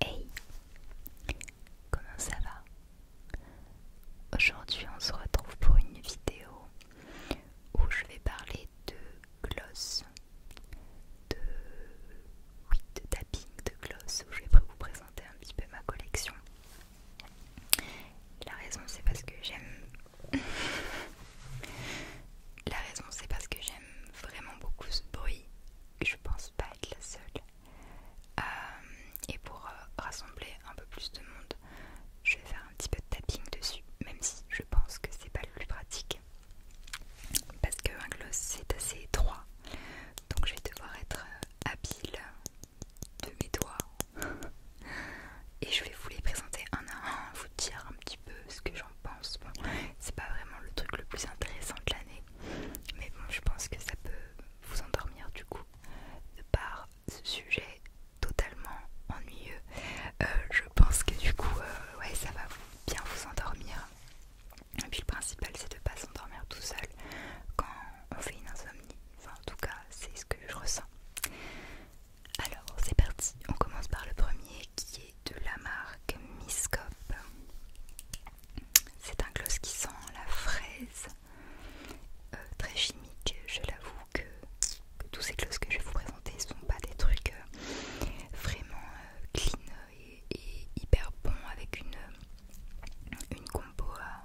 Hey, comment ça va Aujourd'hui on se retrouve pour une vidéo où je vais parler de gloss, de, tapping de gloss, où je vais vous présenter un petit peu ma collection. La raison c'est parce que j'aime... la raison c'est parce que j'aime vraiment beaucoup ce bruit. Je pense pas être la seule. Euh, et pour euh, rassembler un peu plus de monde, je vais faire un petit peu de tapping dessus, même si je pense que c'est pas le plus pratique. Parce qu'un gloss c'est assez étroit. Donc je vais devoir être euh, habile de mes doigts et je vais vous les présenter un à un, vous dire un petit peu ce que j'en pense. c'est pas vraiment le truc le plus intéressant de l'année, mais bon, je pense que ça peut vous endormir du coup de par ce sujet totalement ennuyeux. Euh, je pense que du coup, euh, ouais, ça va bien vous endormir. Et puis le principal, c'est de pas s'endormir tout seul quand on fait une insomnie. Enfin, en tout cas, c'est ce que je ressens. Alors, c'est parti. On commence par le premier qui est de la marque Miscope. C'est un gloss qui sent la fraise, euh, très chimique. Je l'avoue que, tous ces gloss que je vais vous présenter sont pas des trucs euh, vraiment euh, clean et, hyper bons avec une, une compo à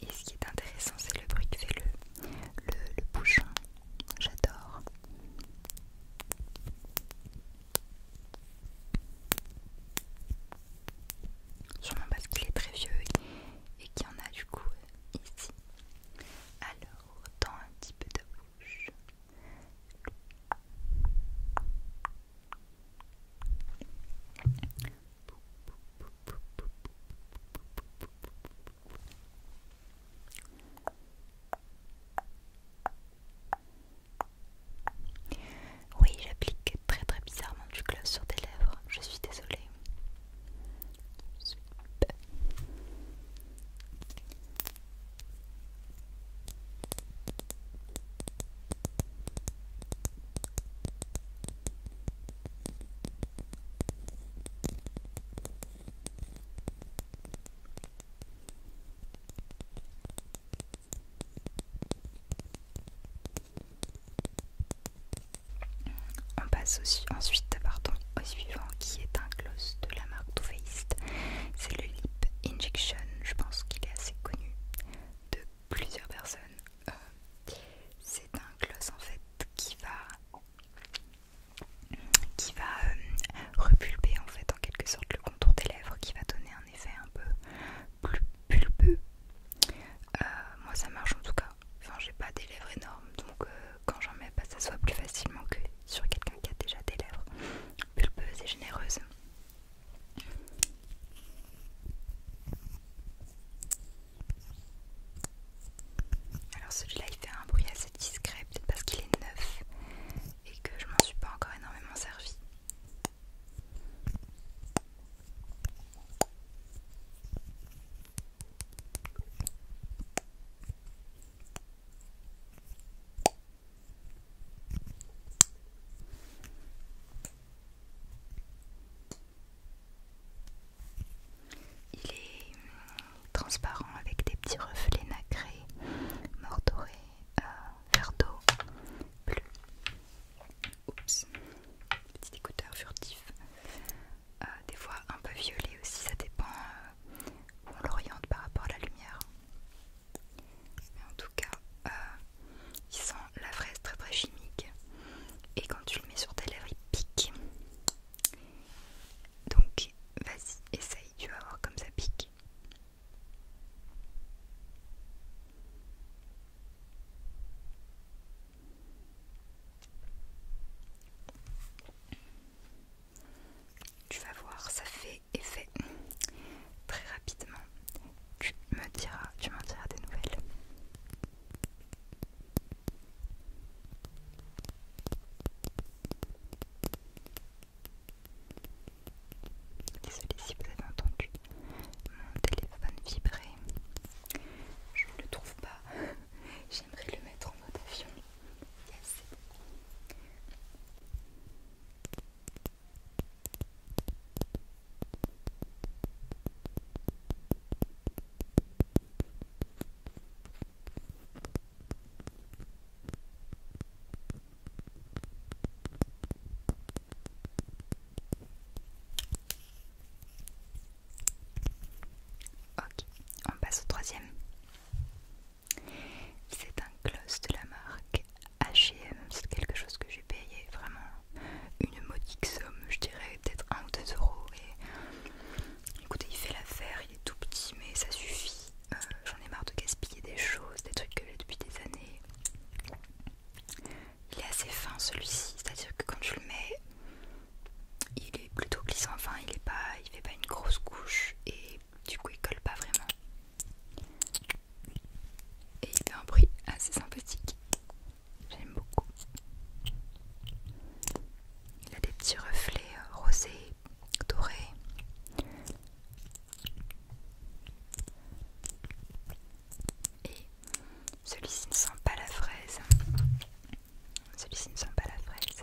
Et ce qui est intéressant, c'est le bruit que fait le, le, bouchon. J'adore. Sûrement parce qu'il est très vieux et qu'il y en a du coup ici. Alors, autant un petit peu de oui, j'applique très très bizarrement du gloss sur tes lèvres, je suis désolée. On passe aussi, ensuite pardon, au suivant qui est un gloss de la marque Too c'est le lip injection, je pense qu'il est assez connu de plusieurs personnes. Euh, c'est un gloss en fait qui va qui va euh, repulper en fait en quelque sorte le contour des lèvres qui va donner un effet un peu plus pulpeux. Euh, moi ça marche en tout cas, enfin j'ai pas des lèvres énormes donc quand j'en mets pas bah, ça soit plus facilement que sur quelqu'un qui a déjà des lèvres pulpeuses et généreuses. Alors celui-là il fait un bruit assez discret, peut-être parce qu'il est neuf et que je m'en suis pas encore énormément servi. Il est euh, transparent avec des petits reflets nacrés, mordorés, euh, vert d'eau, bleu. Oups, petit écouteur furtif. Euh, des fois un peu violet aussi, ça dépend euh, où on l'oriente par rapport à la lumière. Mais en tout cas, euh, il sent la fraise très très chimique. Et quand tu le mets sur tes lèvres, il pique. Donc vas-y, essaye, tu vas voir comme ça pique. Tu vas voir, ça fait et fait très rapidement. Tu me diras, tu m'en diras des nouvelles. Désolée si vous avez entendu mon téléphone vibrer. Je ne le trouve pas. J'aimerais le mettre en mode avion. Yes. Ok, on passe au troisième. C'est un gloss de la marque H&M, c'est quelque chose que j'ai payé vraiment une modique somme, je dirais peut-être 1 ou 2 euros. Et écoutez, il fait l'affaire, il est tout petit, mais ça suffit. Euh, j'en ai marre de gaspiller des choses, des trucs que j'ai depuis des années. Il est assez fin celui-ci, c'est-à-dire que quand je le mets, il est plutôt glissant, enfin il est pas, il fait pas une grosse couche et du coup il colle pas vraiment. Et il a un bruit assez sympathique. J'aime beaucoup. Il a des petits reflets euh, rosés, dorés. Et celui-ci ne sent pas la fraise. Celui-ci ne sent pas la fraise.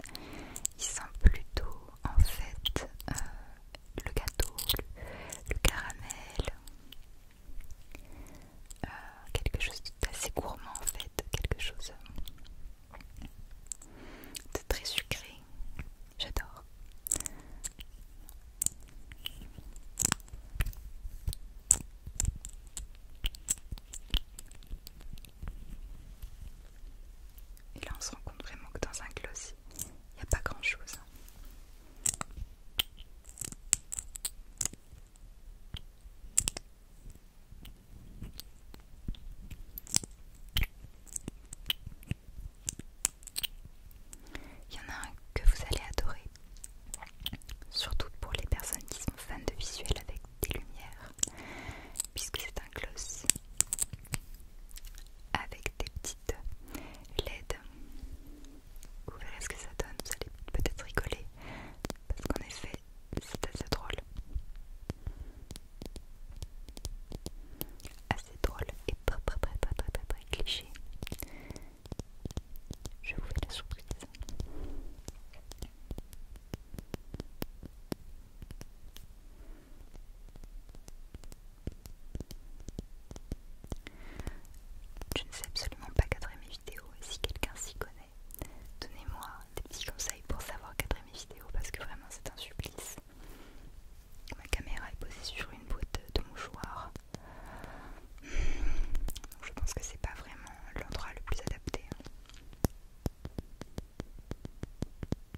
Il sent plutôt en fait euh, le gâteau, le, caramel, euh, quelque chose d'assez gourmand en fait, quelque chose euh, de très sucré. J'adore. Et là on se rend compte vraiment que dans un clos il n'y a pas grand chose. Il y en a un que vous allez adorer, surtout pour les personnes qui sont fans de visuels avec des lumières, puisque c'est un close avec des petites LED. Vous verrez ce que ça donne, vous allez peut-être rigoler parce qu'en effet c'est assez drôle. Assez drôle et pas très très très très très très cliché. Je vous fais la surprise. Je ne sais absolument pas cadrer mes vidéos et si quelqu'un s'y connaît, donnez-moi des petits conseils pour savoir cadrer mes vidéos parce que vraiment c'est un supplice. Ma caméra est posée sur une boîte de mouchoirs. Donc je pense que c'est pas vraiment l'endroit le plus adapté. Un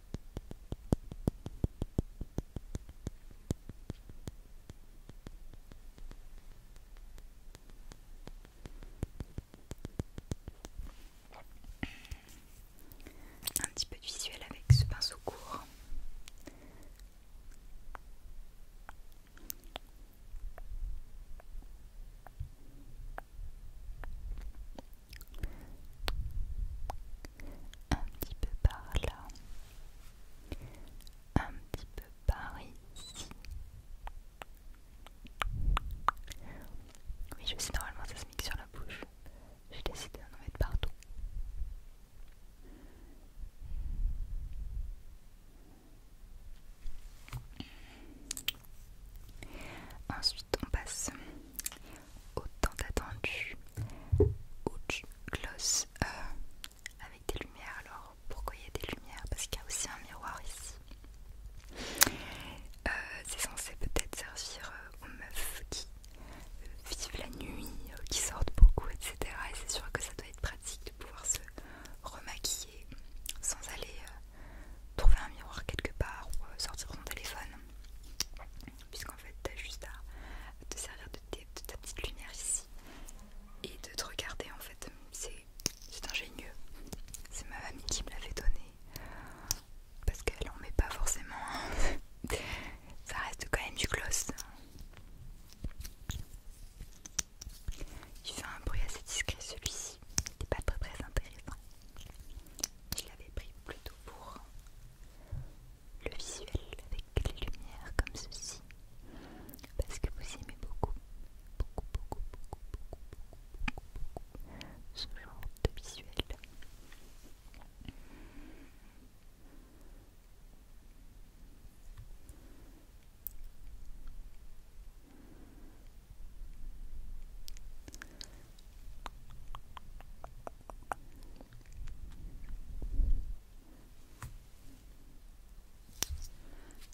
petit peu de visuel avec ce pinceau court un petit peu par là, un petit peu par ici. Oui, je sais, normalement ça se mixe sur la bouche. J'ai décidé d'en mettre partout. Ensuite, on passe autant attendu ou Gloss euh, avec des lumières. Alors pourquoi il y a des lumières Parce qu'il y a aussi un miroir ici. Euh, c'est censé peut-être servir euh, aux meufs qui vivent la nuit, qui sortent beaucoup, etc. Et c'est sûr que ça doit être pratique de pouvoir se remaquiller sans aller trouver un miroir quelque part ou sortir son téléphone puisqu'en fait t'as juste à te servir de, ta petite lumière ici et de te regarder en fait c'est ingénieux c'est ma mamie qui me l'avait donné parce qu'elle en met pas forcément hein. ça reste quand même du gloss il fait un bruit assez discret celui-ci il n'est pas très très intéressant je l'avais pris plutôt pour le visuel avec les lumières comme ceci parce que vous aimez beaucoup, beaucoup, beaucoup, beaucoup, beaucoup, beaucoup, beaucoup, beaucoup ce genre de visuel.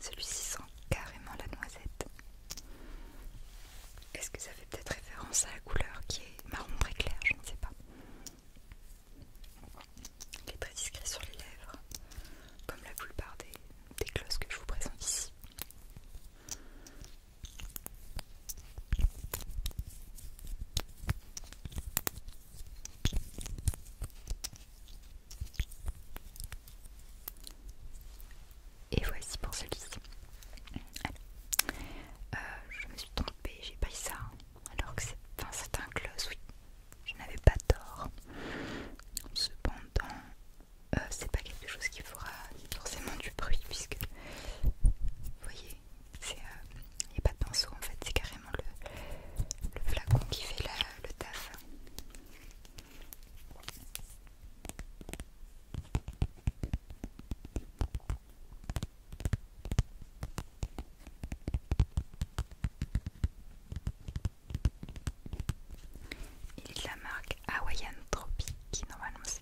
Celui-ci sent carrément la noisette. Est-ce que ça fait peut-être référence à la couleur qui est marron très clair Je ne sais pas. Il est très discret sur les lèvres, comme la plupart des, des glosses que je vous présente ici. Et voici pour celui-ci. Euh, je me suis trompée, j'ai pris ça. Hein. Alors que c'est un close, oui. Je n'avais pas tort. Cependant, euh, c'est pas quelque chose qui fera forcément du bruit puisque vous voyez euh, il n'y a pas de pinceau en fait, c'est carrément le, le flacon qui fait le taf. Il est de la marque Hawaiian Tropic, qui normalement c'est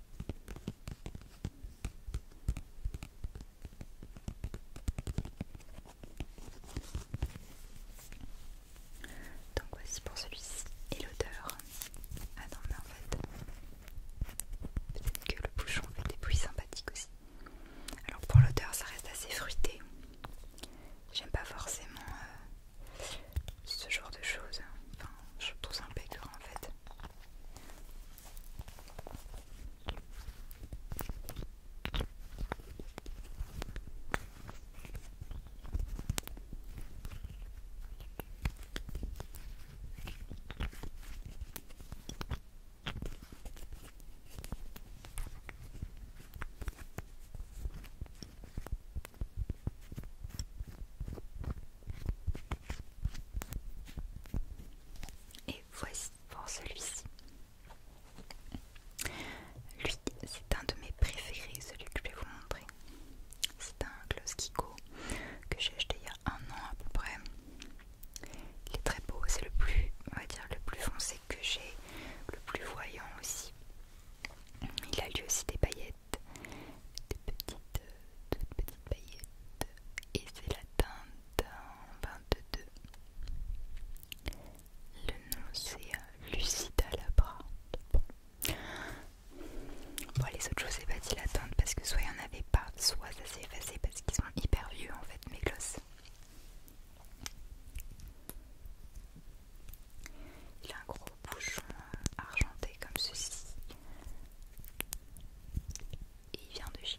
Donc voici pour celui-ci et l'odeur. Ah non mais en fait, peut-être que le bouchon fait des bruits sympathiques aussi. Alors pour l'odeur ça reste assez fruité. J'aime pas forcément euh, ce genre de choses. Enfin, je trouve ça impeccable en fait. Et voici pour celui-ci. Lui, c'est un de mes préférés, celui que je vais vous montrer. C'est un gloss que j'ai acheté il y a un an à peu près. Il est très beau, c'est le plus, on va dire, le plus foncé que j'ai, le plus voyant aussi. Il a lui aussi des paillettes des petites, petites paillettes, et c'est la teinte 22. Le nom c'est euh, Lucida Labra. Bon. les autres choses, c'est pas dit la teinte parce que soit il n'y en avait pas, soit ça s'est effacé parce qu'ils sont hyper vieux en fait, mes glosses. Il a un gros bouchon argenté comme ceci. il vient de chez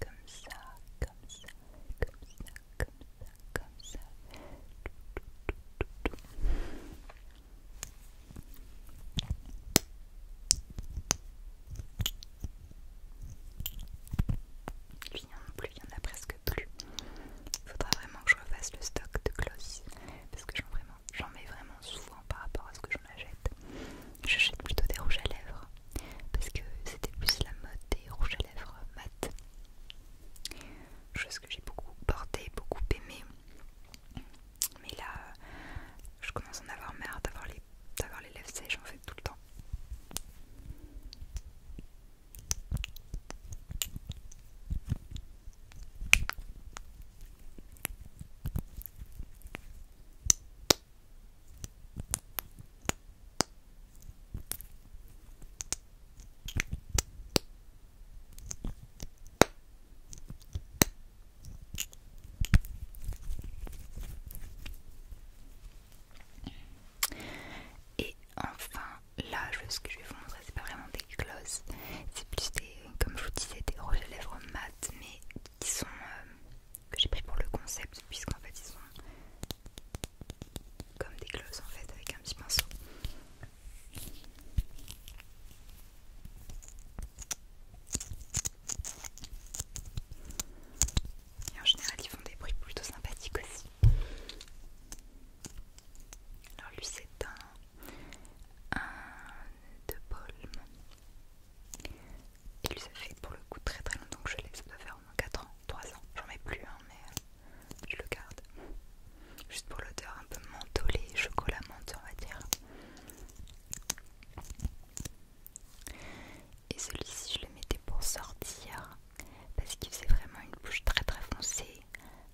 comme ça, comme ça, comme ça, comme ça, comme ça. il n'y en a plus, il n'y en a presque plus. Il faudra vraiment que je refasse le stock de gloss parce que j'en mets vraiment souvent par rapport à ce que j'en achète. J'achète plutôt des rouges à lèvres parce que c'était plus la mode des rouges à lèvres mat. Chose que j'ai beaucoup porté, beaucoup aimé Mais là, je commence à en avoir marre d'avoir les, les lèvres sèches en fait tout le temps. Et enfin, là, ce que je vais vous montrer, c'est pas vraiment des gloss c'est plus des, comme je vous disais, des rouges à lèvres mat, mais qui sont euh, que j'ai pris pour le concept puisqu'en fait ils sont comme des glosses en fait avec un petit pinceau et en général ils font des bruits plutôt sympathiques aussi alors lui c'est un, de palme et lui ça fait pour le coup très très longtemps que je l'ai, ça doit faire au moins 4 ans, 3 ans, j'en mets plus hein, mais euh, je le garde. Juste pour l'odeur un peu mentholée, chocolat menthe on va dire. Et celui-ci je le mettais pour sortir parce qu'il faisait vraiment une bouche très très foncée.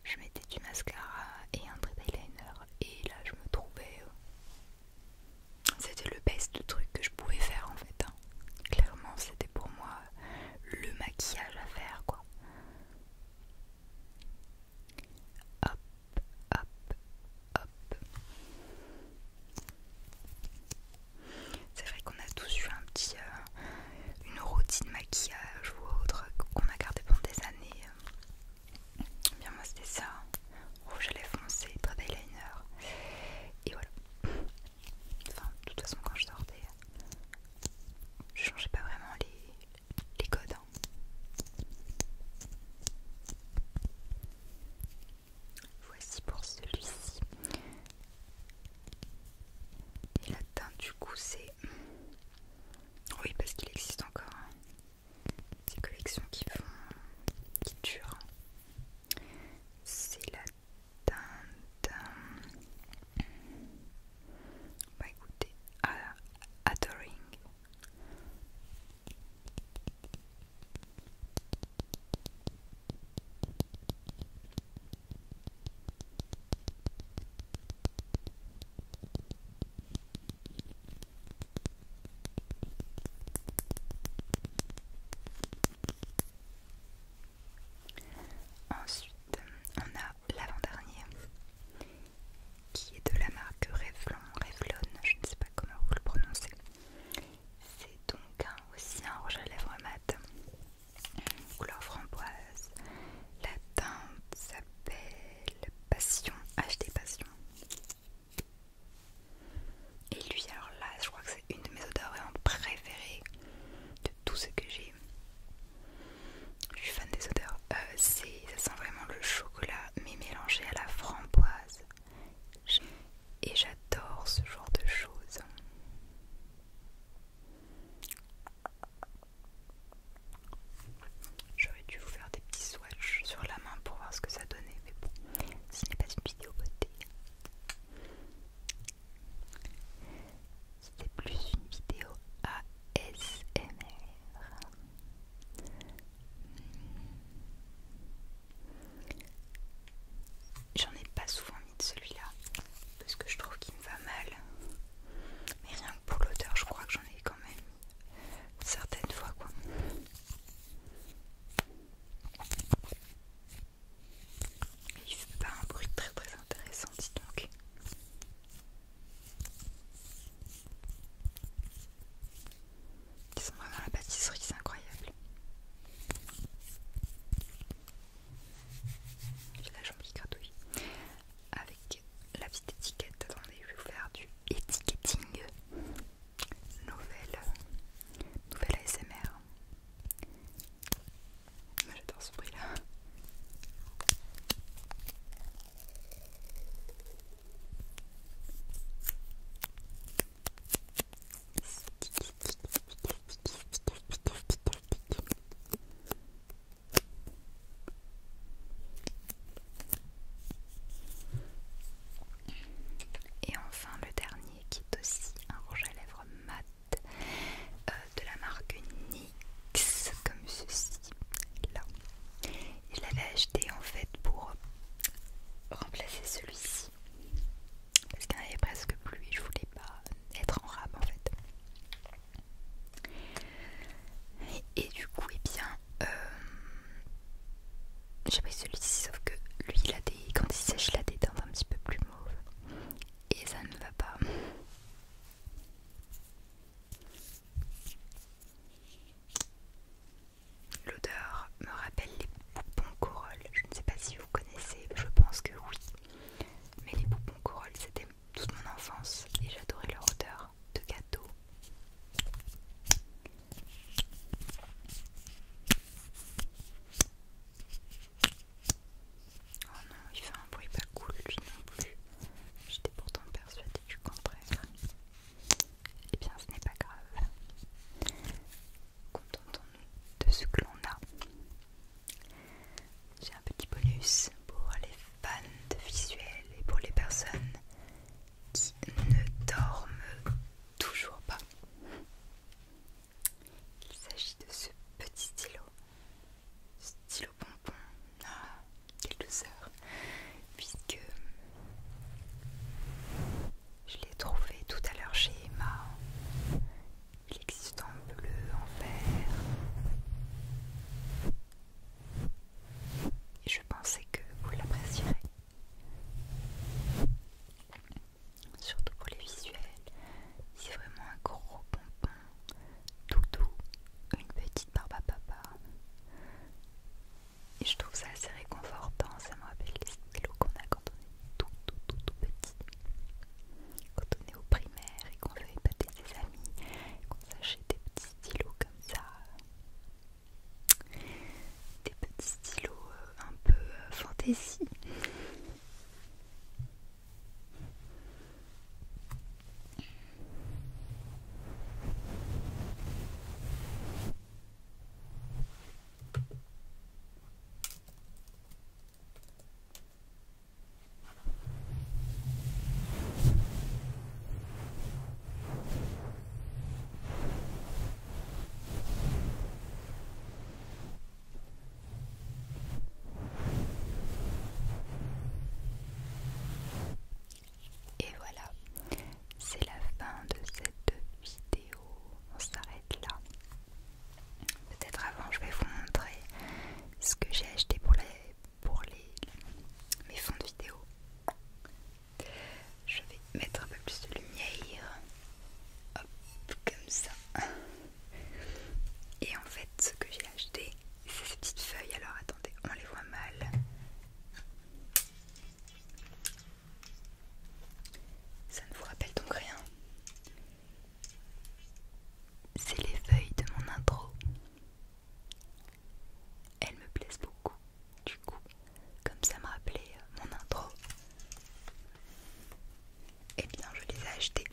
Je mettais du mascara et un trait eyeliner et là je me trouvais euh, c'était le best truc que je pouvais faire en fait. Hein. Clairement, c'était pour moi le maquillage à faire quoi. Hop, hop, hop. C'est vrai qu'on a tous eu un petit, euh, une routine maquillage ou autre qu'on a gardé pendant des années. Bien moi c'était ça rouge à lèvres foncé, pas liner Et voilà. Enfin, de toute façon, quand je sortais, je changeais pas vraiment les, codes. Hein. Voici pour celui-ci. Et la teinte, du coup, c'est. Oui, parce qu'il existe encore. Ces hein. collections qui font. qui durent. Hein. C'est la teinte. Bah écoutez, Adoring. Ensuite, on a l'avant-dernier qui est de la marque Revlon, Revlon, je ne sais pas comment vous le prononcez. C'est donc aussi un rouge à lèvres mat, couleur framboise. La teinte s'appelle Passion, HD Passion. Et lui, alors là, je crois que c'est une de mes odeurs vraiment préférées de tout ce que j'ai. Je suis fan des odeurs. Euh, ça sent vraiment le chocolat, mais mélangé à la framboise. Et j'adore ce genre de choses. J'aurais dû vous faire des petits swatchs sur la main pour voir ce que ça donnait, mais bon, ce n'est pas une vidéo beauté c'était plus une vidéo ASMR. J'en ai pas souvent mis de celui-là parce que je trouve qu'il me va mal. Mais rien que pour l'odeur, je crois que j'en ai quand même certaines fois quoi. Il fait pas un bruit très très intéressant, dis donc. Ils sont vraiment la pâtisserie, c'est incroyable. J'ai la jambe qui gratouille. Avec la petite étiquette, attendez, je vais vous faire du étiquetting nouvelle, nouvelle ASMR. J'adore ce bruit là. Et enfin le dernier qui est aussi un rouge à lèvres mat euh, de la marque NYX comme ceci là je l'avais acheté en fait pour remplacer celui-ci parce qu'il n'y en avait presque plus et je voulais pas être en rab en fait et, du coup et eh bien euh, j'ai pris celui-ci sauf que lui il a des quand il sèche il a des dents un petit peu plus mauves et ça ne va pas l'odeur me rappelle les poupons corolles je ne sais pas si vous connaissez je pense que oui mais les poupons corolles c'était toute mon enfance et j'adorais leur odeur de gâteau Oh non, il fait un bruit pas cool non plus. J'étais pourtant persuadée du contraire. Eh bien, ce n'est pas grave. Contentons-nous de ce que l'on a. J'ai un petit bonus pour les fans de visuel et pour les personnes qui ne dorment toujours pas. Il s'agit de ce petit stylo, stylo pompon. Ah, quelle douceur! Puisque je l'ai trouvé tout à l'heure chez Emma. Il existe en bleu, en vert. Et je pensais que vous l'apprécierez surtout pour les visuels. C'est vraiment un gros pompon, tout doux, une petite barbe papa. Et je trouve ça assez réconfortant, ça me rappelle les stylos qu'on a quand on est tout tout tout tout petit. Quand on est au primaire et qu'on veut épater ses amis, qu'on s'achète des petits stylos comme ça, des petits stylos euh, un peu euh, fantaisie. Et voilà, c'est la fin de cette vidéo. On s'arrête là. Peut-être avant, je vais vous montrer ce que j'ai acheté pour, les, pour les, mes fonds de vidéo. Je vais mettre un peu plus de lumière. Hop, comme ça. Et en fait, ce que j'ai acheté, c'est ces petites feuilles. Alors attendez, on les voit mal. Ça ne vous rappelle donc rien. C'est les feuilles de mon intro. Elles me plaisent beaucoup du coup, comme ça me rappelait euh, mon intro, et eh bien je les ai achetés.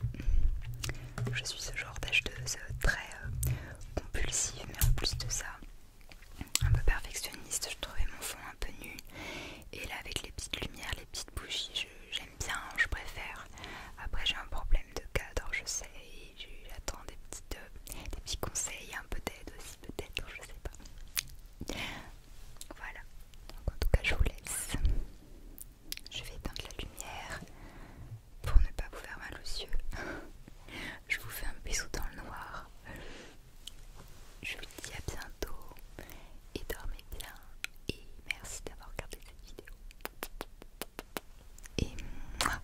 Je suis ce genre d'acheteuse euh, très euh, compulsive, mais en plus de ça, un peu perfectionniste. Je trouvais mon fond un peu nu, et là avec les petites lumières, les petites bougies, j'aime bien, je préfère. Après j'ai un problème de cadre, je sais, j'attends des petites, petits conseils, un peu d'aide aussi peut-être, je sais pas voilà. Donc en tout cas, je vous laisse. Je vais éteindre la lumière pour ne pas vous faire mal aux yeux. je vous fais un bisou dans le noir. Je vous dis à bientôt et dormez bien. Et merci d'avoir regardé cette vidéo. Et moi.